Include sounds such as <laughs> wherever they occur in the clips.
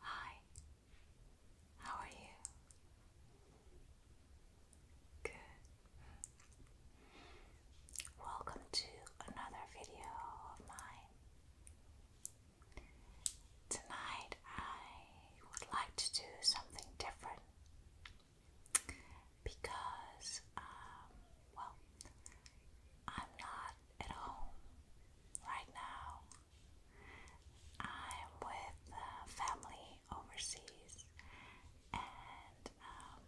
Hi, how are you? Good. Welcome to another video of mine. Tonight I would like to do something different because, um, well, I'm not at home right now. I'm with family overseas, and um,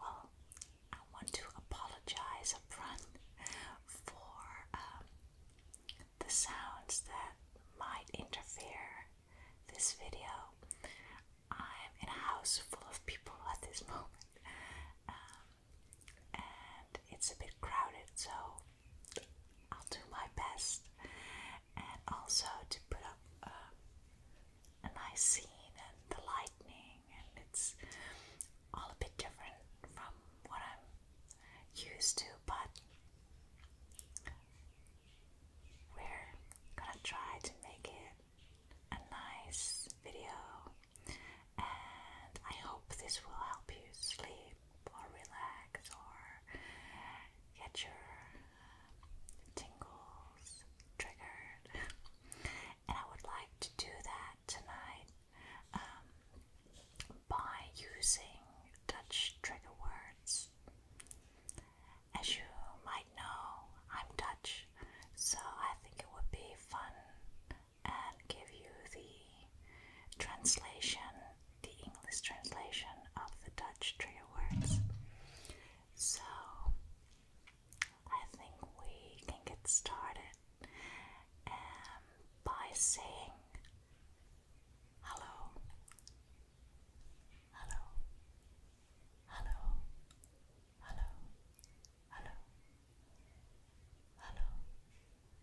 well, I want to apologize upfront for um, the sounds that might interfere this video. I'm in a house full of people at this <laughs> moment. Um, and it's a bit crowded, so I'll do my best, and also to put up uh, a nice scene and the lightning, and it's all a bit different from what I'm used to, but we're gonna try to make it a nice video and I hope this will help you sleep or relax or get your um, tingles triggered. and I would like to do that tonight um, by using Dutch trigger words. As you might know, I'm Dutch, so I think it would be fun and give you the translation, the English translation of the Dutch trigger words. So I think we can get started um, by saying hello, hello, hello, hello, hello, hello,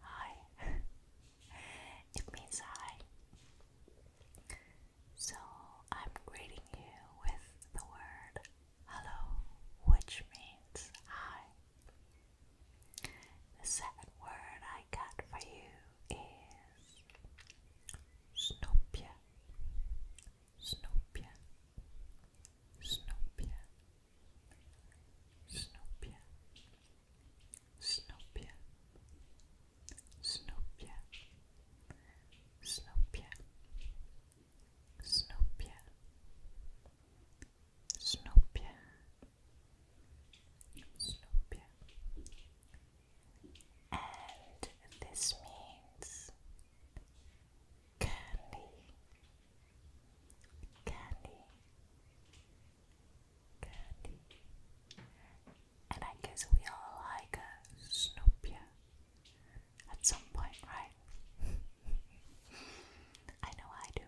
Hi. <laughs> it means hi. So I'm greeting you with the word hello, which means hi. The second word I got for you is snoopia. Snoopia. Snoopia. Snoopia, Snoopia, Snoopia, Snoopia, Snoopia, Snoopia, Snoopia. And this means candy, candy, candy. And I guess we all like a Snoopy at some point, right? <laughs> I know I do.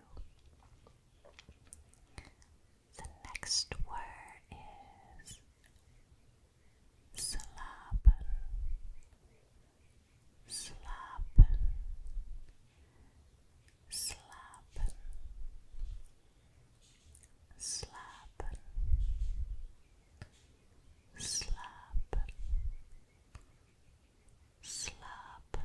The next word is slapen, slapen, slap, slap, slap, slap, slap,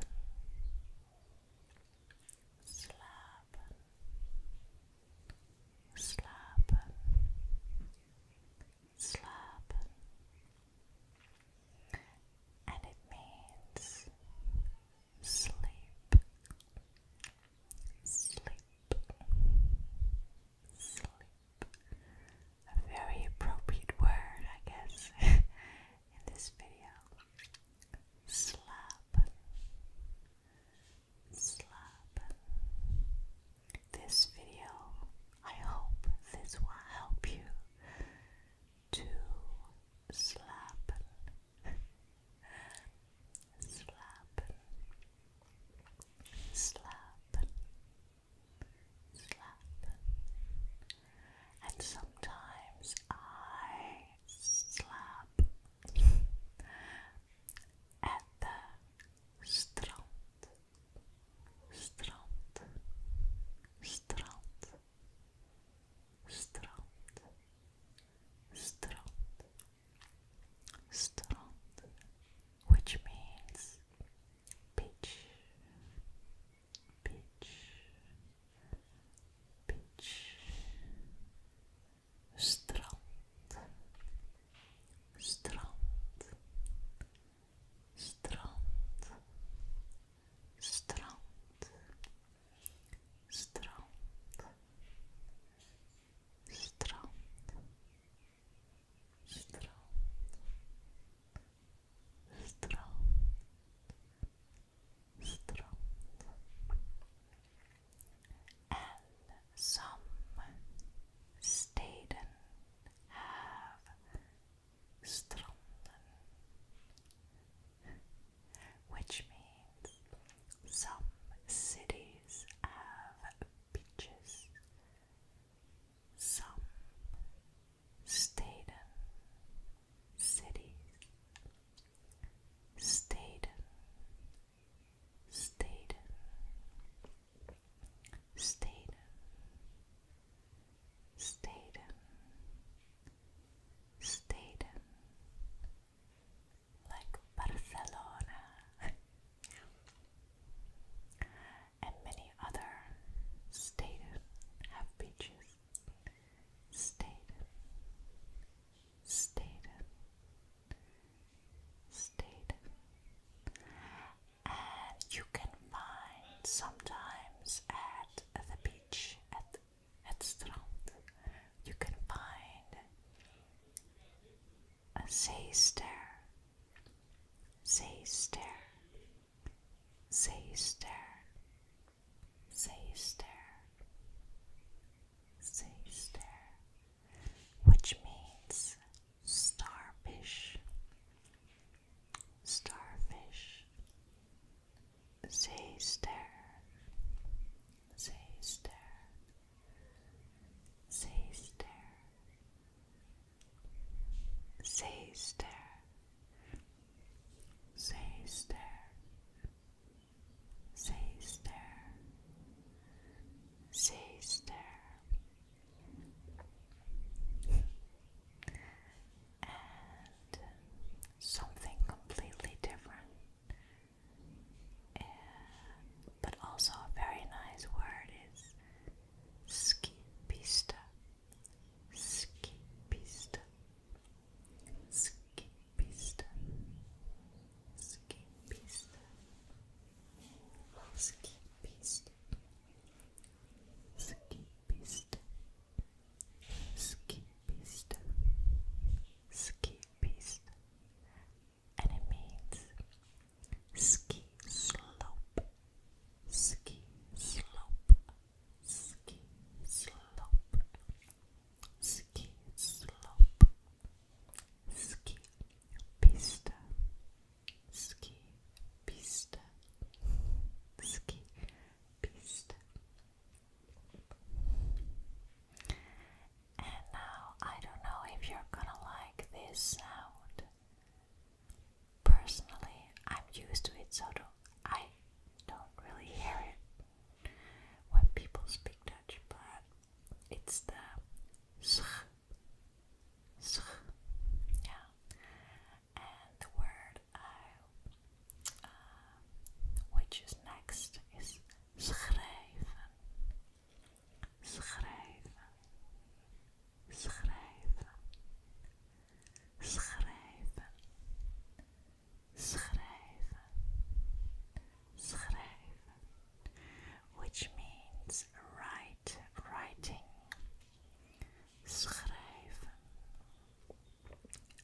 slap, slap, and it means sleep, sleep, sleep. A very appropriate word, I guess, <laughs> in this video. Slap, slap. This video, I hope this will help you to slap, slap, slap, slapen, and sometimes I slap at the strand. Strand, strand, strand, strand, strand, which means beach, beach, beach, strand, strand, strand strand, strand, strand, strand, strand, strand, and some staden have stranden, which means some cities have beaches, some Staden cities, Staden, Staden, Staden, Staden, Staden, like Barcelona, <laughs> and many other states have beaches. Staden, Staden, Staden, and you can find sometimes at the beach at at strand you can find a zeester, zeester, zeester, zeester, zeester, which means starfish, starfish, Sister, sister, sister, sister, sister, sister, sister and something completely different. but also a very nice word is skipista. Skipista. Skipista. Skipista. Skipista. Skipista ski piste, ski piste, and it means ski slope, ski slope, ski slope, ski slope, ski piste, ski piste, ski piste. And now I don't know if you're gonna like this sound. Personally, I'm used to it, so do I don't really hear it when people speak Dutch, but it's the sch, sch, yeah. And the word um, which is next is schrijven, schrijven, schrijven, schrijven, schrijven, schrijven, which means write, writing, schrijven.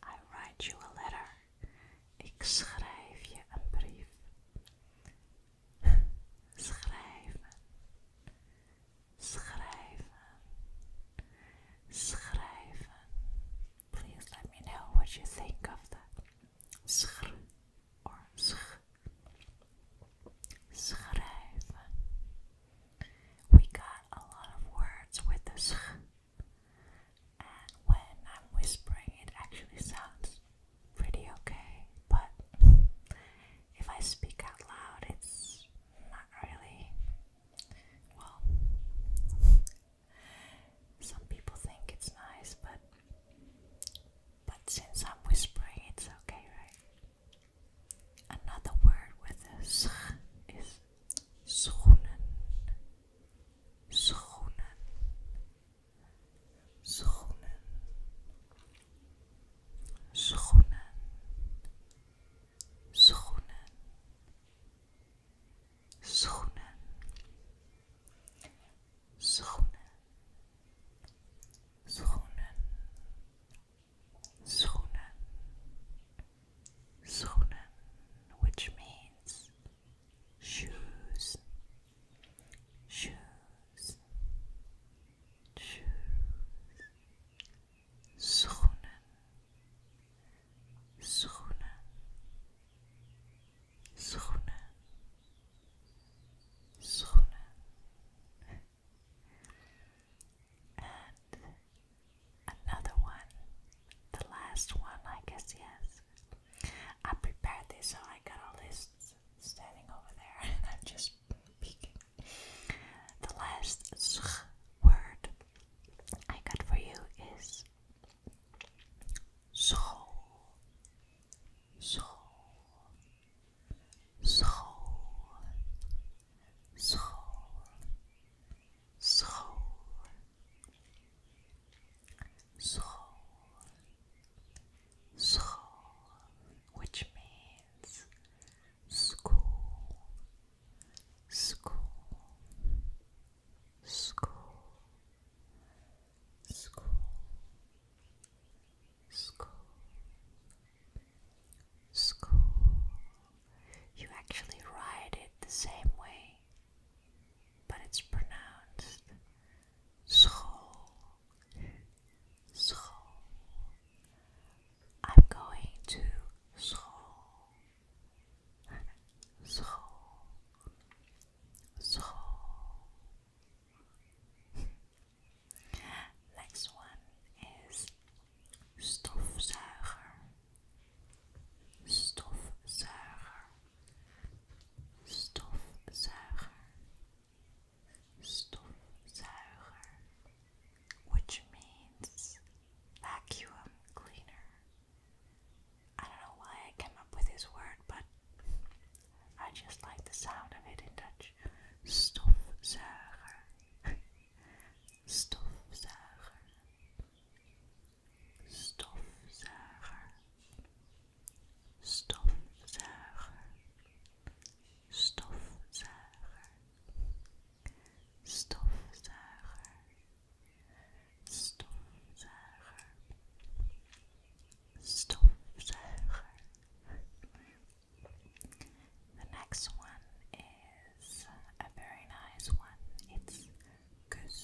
I write you a letter. Ik schrijf je een brief. Schrijven. Schrijven. Schrijven. Please let me know what you think of that. Schr Schrijven. We got a lot of words with the sch. And when I'm whispering, it actually sounds pretty okay, but if I speak out loud, it's not really. Well, some people think it's nice, but but since I'm whispering, it's okay, right? Another word with a s is schoenen schoenen, schoenen, schoenen, schoenen, schoenen, schoenen, schoenen, schoenen, schoenen, which means shoes, shoes, shoes, schoenen, schoenen, schoenen, schoenen, and another one, the last one, I guess, yes. I prepared this, so I got a list standing over there, <laughs> I'm just peeking. The last word I got for you is soul, soul, soul, soul, soul, soul, soul, which means school, school, school, school, school. School. You actually write it the same way but it's pronounced school. School. I'm going to school. School. School. Next one is stofzuiger. Stofzuiger stofzuiger, stofzuiger, which means vacuum cleaner. I don't know why I came up with this word, but I just like the sound of it in Dutch. Stofzuiger, <laughs> stofzuiger stofzuiger stofzuiger stofzuiger stofzuiger stofzuiger stofzuiger the next one is a very nice one it's kus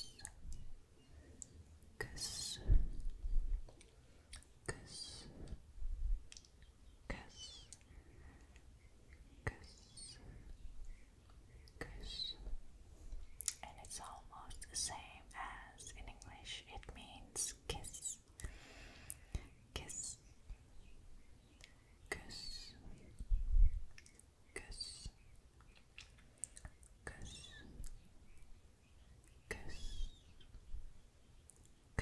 kiss, kiss, kiss, kiss, kiss. And it's almost the same as in English. It means kiss, kiss, kiss, kiss, kiss, kiss, kiss, kiss,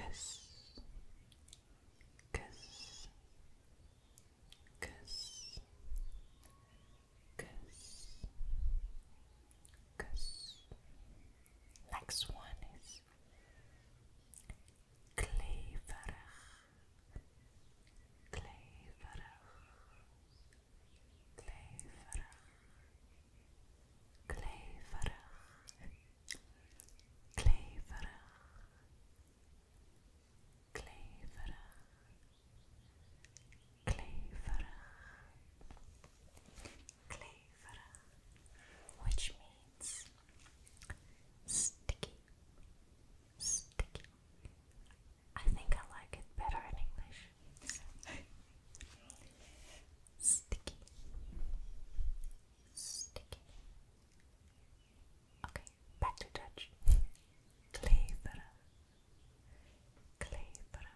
kiss, kiss, kiss, kiss. Next one is kleverig, kleverig, Clayfara Clayfara Clayfara Clayfara Clayfara Clayfara which means sticky sticky I think I like it better in English. Sticky. Sticky. Okay, back to Dutch. Kleverig. Kleverig.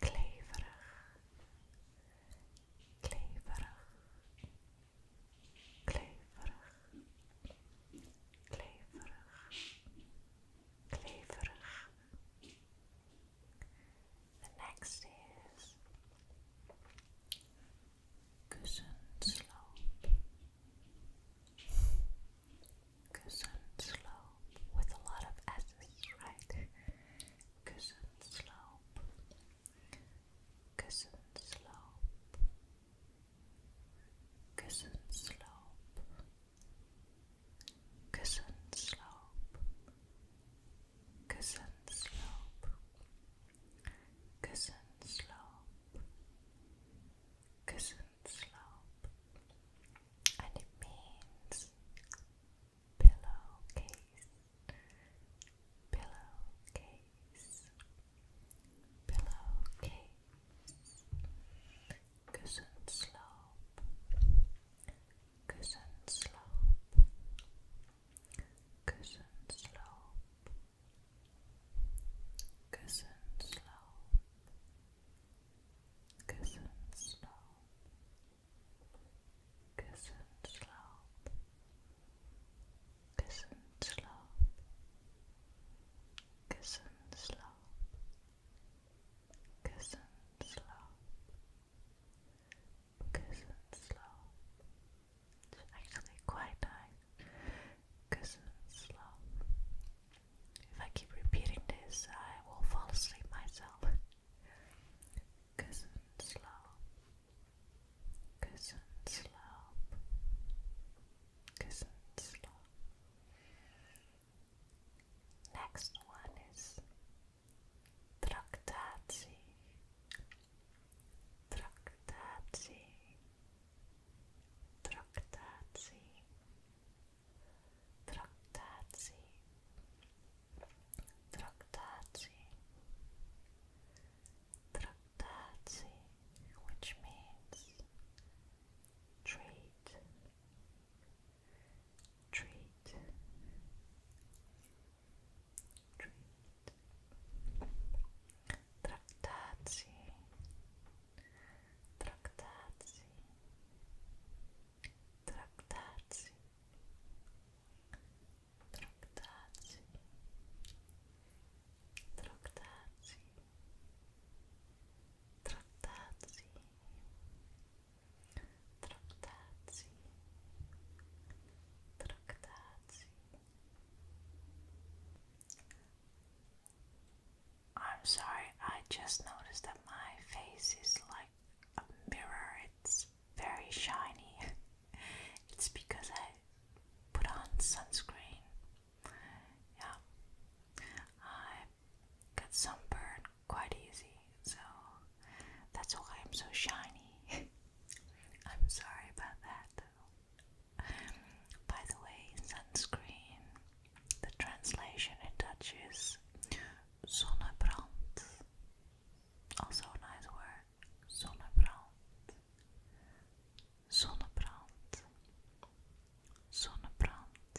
Kleverig. Kleverig. Kleverig. Kleverig kleverig. The next is Kussenslope. Kussenslope with a lot of S's, right? Kussenslope. Kussenslope. Kussenslope. Cousin slope, cousin slope, cousin slope, cousin slope, and it means pillowcase, pillowcase, pillowcase. Cushion slope, cushion slope, cushion slope, cushion slope, cushion slope, cushion slope, cushion slope, cushion slope. Cushion slope, Kussen Slope. Kussen Slope. It's actually quite nice. Kussen Slope. If I keep repeating this, I will fall asleep myself. Kussen Slope. Kussen Slope. Kussen Slope. Next one is Traktaci. Traktaci. Traktaci. Traktaci. Traktaci. Traktaci, which means treat, treat treat traktacji traktacji traktacji traktacji traktacji Trattazzi Trattazzi Trattazzi I'm sorry, I just noticed that my face is like a mirror. It's very shiny. <laughs> it's because I put on sunscreen. Yeah get sunburned quite easy, so that's why I'm so shiny. <laughs> I'm sorry about that. By the way, sunscreen, the translation in Dutch is zonnebrand. Also nice word, zonnebrand. Zonnebrand. Zonnebrand.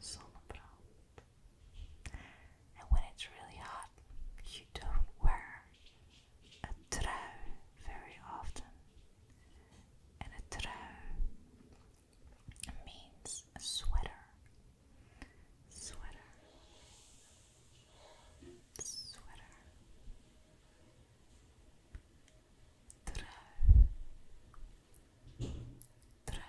zonnebrand. And when it's really hot, you don't wear a trui very often. And a trui means a sweater. Sweater. Sweater. Trui. Trui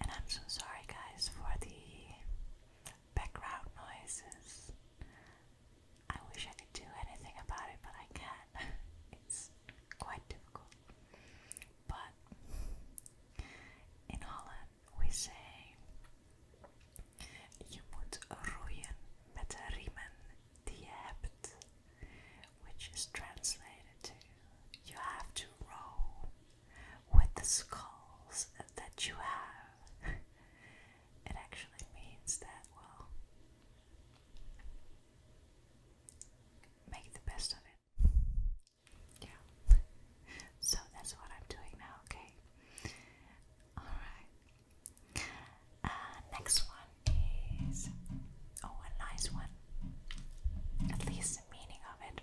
and I'm so sorry, guys, for the background noises. I wish I could do anything about it, but I can't. <laughs> It's quite difficult. But in Holland, we say: Je moet roeien met de riemen Dieppe, which is translated to you have to roll with the skulls that you have. It actually means that, well, make the best of it. Yeah. So that's what I'm doing now, okay? Alright. Uh, next one is oh, a nice one. At least the meaning of it.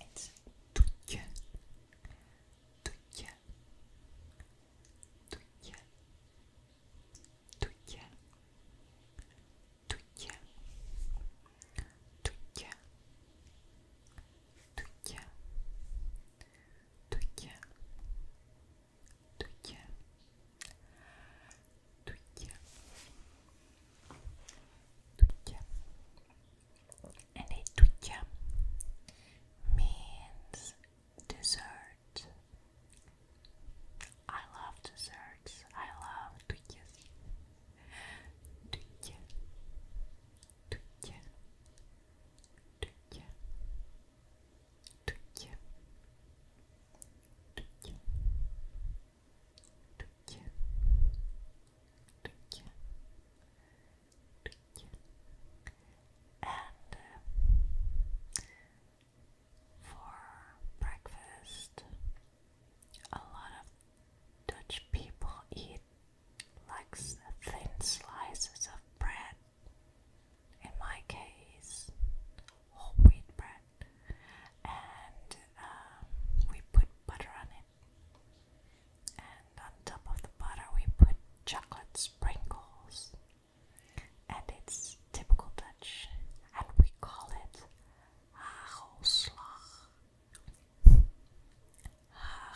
It's tutje, tutje, tutje, tutje, tutje, tutje, tutje, tutje, Dutje. Dutje. Dutje. And a dutje means dessert. I love desserts. I love dutjes. Dutje. Dutje. Tycke. Tycke. Tycke. Tycke. Tycke. Tycke. And uh, for breakfast, a lot of Dutch people eat like thin slices of bread in my case, whole wheat bread, and um, we put butter on it. And on top of the butter, we put chocolate sprinkles, and it's typical Dutch, and we call it hagelslag.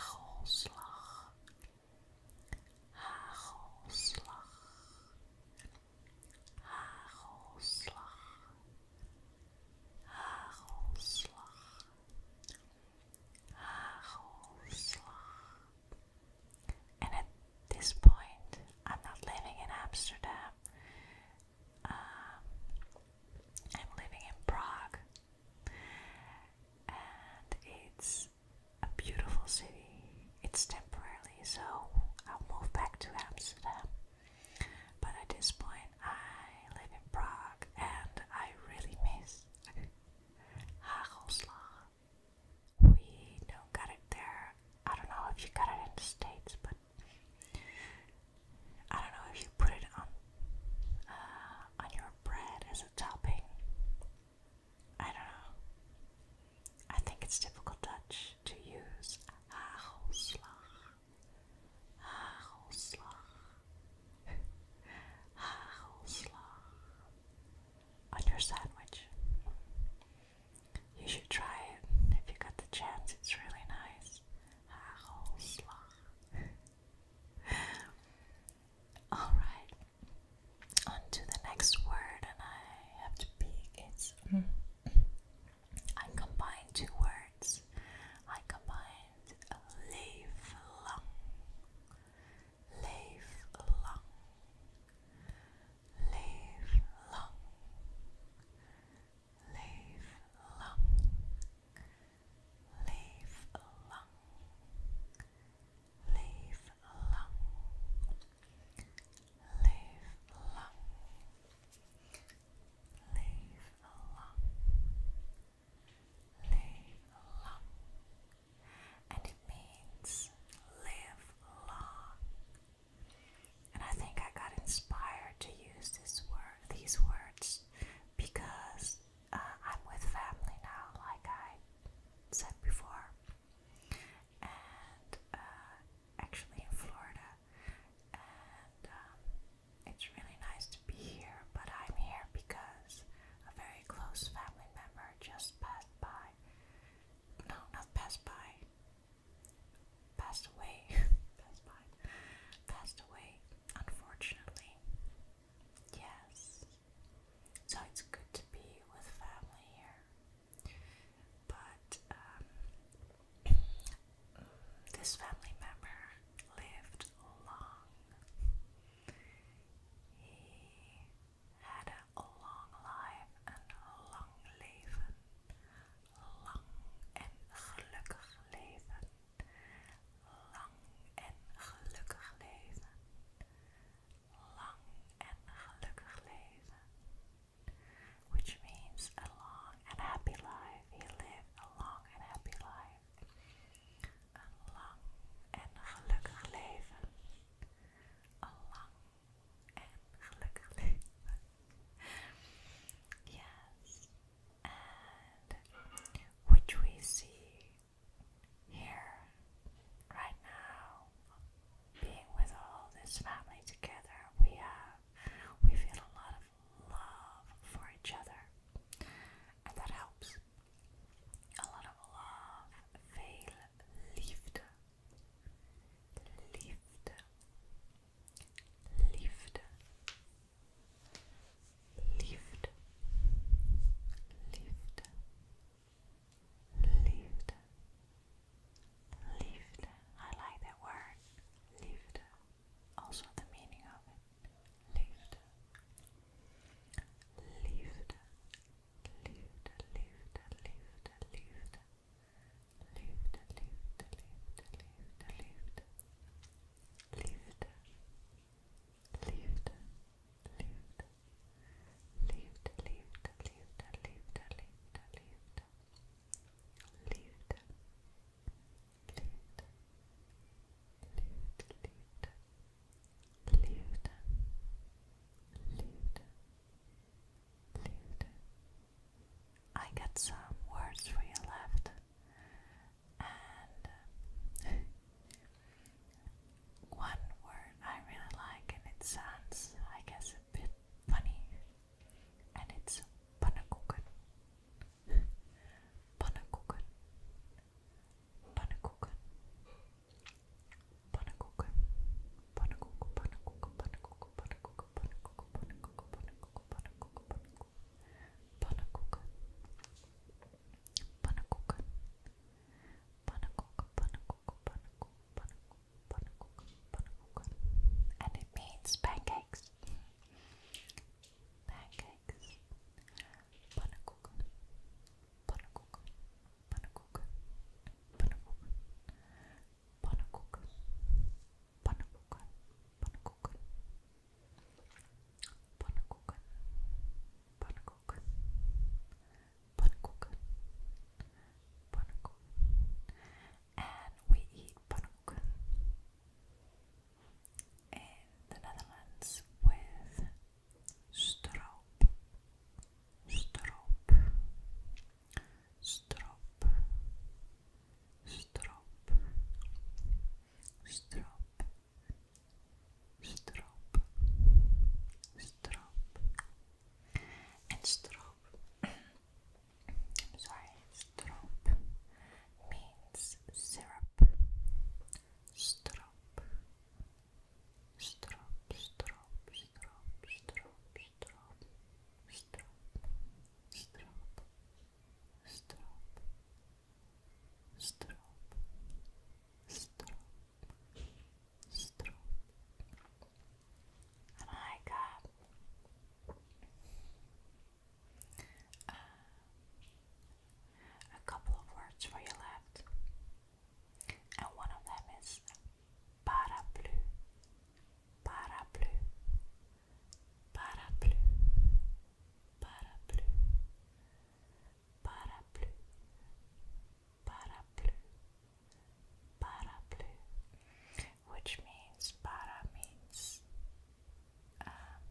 Hagelslag hagelslag, hagelslag, hagelslag, hagelslag. And at this point, I'm not living in Amsterdam. Um, I'm living in Prague, and it's a beautiful city. It's temporarily, so I'll move back to Amsterdam. But at this point, I live in Prague and I really miss Hagelslag. We don't got it there. I don't know if you got it in the States, but I don't know if you put it on uh, on your bread as a topping. I don't know. I think it's typical Dutch to use hagelslag. Hagelslag. <laughs> Hagelslag. On your sandwich. You should try it if you got the chance. It's really nice. Hagelslag. <laughs> All right on the next word, and I have to pick it's. Mm. I combine two words. I combined live long, live long, live long, live long. Live long live long, live long, live long, live long, and it means live long. And I think I got inspired to use this word, these words, because uh, I'm with family now, like I said before, and uh, actually in Florida, and um, it's really nice to be here. But I'm here because a very close family member just passed by. No, not passed by. Passed away. <laughs> passed by. Passed away. Unfortunately. Yes. So it's good to be with family here. But um, this family member lived long. He had a long life and long leven. Lang en gelukkig leven. Lang en gelukkig leven. Which means a long and happy life. He lived a long and happy life. Een lang en gelukkig leven. yes. which we see here right now being with all this family together, we have we feel a lot of love for each other, and that helps. A lot of love, veel liefde, liefde, liefde, liefde, liefde. Liefde. Liefde. I like that word. Liefde. Also the meaning of it. Liefde. Liefde. Liefde, liefde, liefde, liefde. Liefde, liefde, liefde, liefde, liefde lift, lift, lift, lift, lift, lift. Lift, lift, lift, lift, lift, lift, lift. I got some words for you left, and <laughs> one word I really like, and it sounds, I guess a bit funny and it's panakukan. panakukan. Panakukan. Panakukan. Panakukan. Panakukan. Panakukan. Panakukan. Panakukan. Panakukan. Panakukan. Panakukan. Panakukan. Panakukan. Panakukan. Panakukan. Panakukan and it means pancakes. Pancakes. Panacook. Panacook. Panacook. Panacook. Panacook. Panacook. Panacook. Panacook. Panacook panakuk, panakuk, and we eat panakuk in the Netherlands with stroop, stroop, stroop, stroop, stroop. Strop, strop, and sorry, strobe means syrup strobe strobe, strobe, strobe, strobe, strobe strobe, strobe, strobe Strobe, strobe, strobe, strong. And uh, a couple of words for you left, and one of them is parapluie, parapluie, parapluie, parapluie, parapluie, paraplu, paraplu, which means para means um,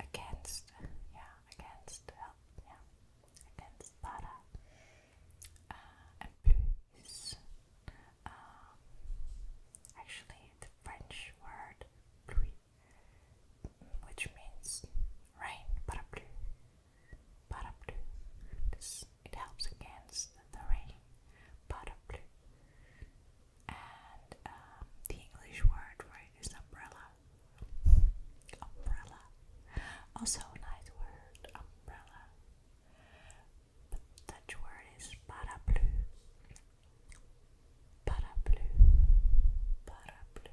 against, yeah, against, yeah, against para, uh, and plus. Um, actually, the French word pluie, which means rain, paraplu. Paraplu. it helps against the rain. Paraplu. And um, the English word for it is umbrella. Umbrella. Also a nice word, umbrella. But Dutch word is paraplu. Paraplu. Paraplu.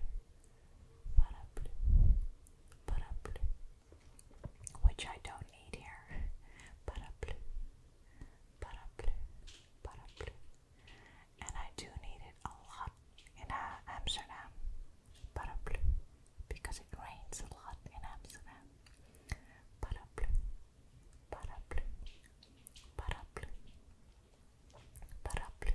Paraplu. Paraplu which I don't need here. Paraplu, paraplu, paraplu. And I do need it a lot in uh, Amsterdam. Paraplu, because it rains a lot in Amsterdam. Paraplu, paraplu, paraplu, paraplu.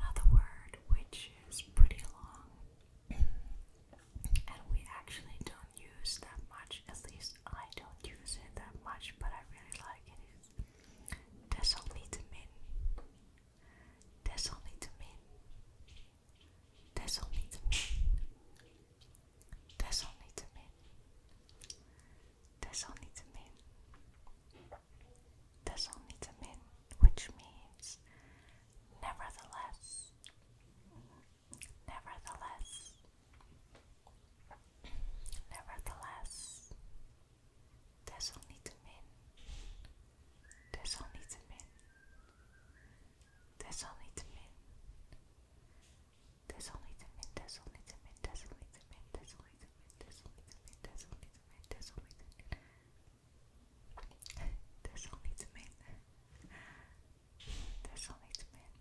Another word which is pretty long and we actually don't use that much, at least I don't use it that much, but I really like it. It's desolitamine, desolitamine, desolitamine, desolitamine, desolitamine, desolitamine which means nevertheless. Nevertheless. Nevertheless. Desalniettemin. Desalniettemin. Desalniettemin. Desalniettemin. Desalniettemin. Desalniettemin. Desalniettemin. Desalniettemin. Desalniettemin. Desalniettemin. Desalniettemin. There's only two men. There's only two men.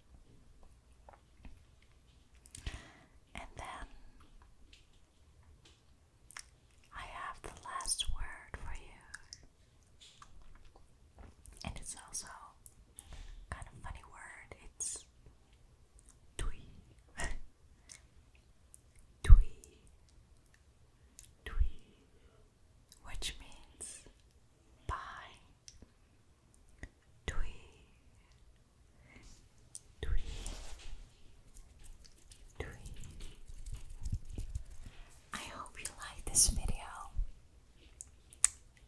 And then I have the last word for you. And it's also kind of funny word. It's twee. <laughs> twee. Tui, which means bye. Tui, Tui, Tui. I hope you like this video,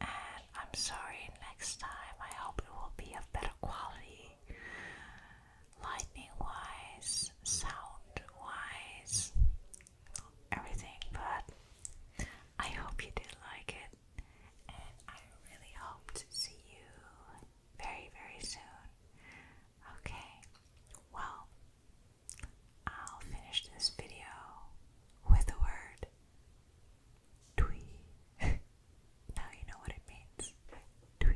and I'm sorry next time. I hope it will be of better quality lightning wise, sound wise, everything. But I hope you did like it, and I really hope to see you very, very soon. Okay, well, I'll finish this video with the word twee. <laughs> now you know what it means. Twee.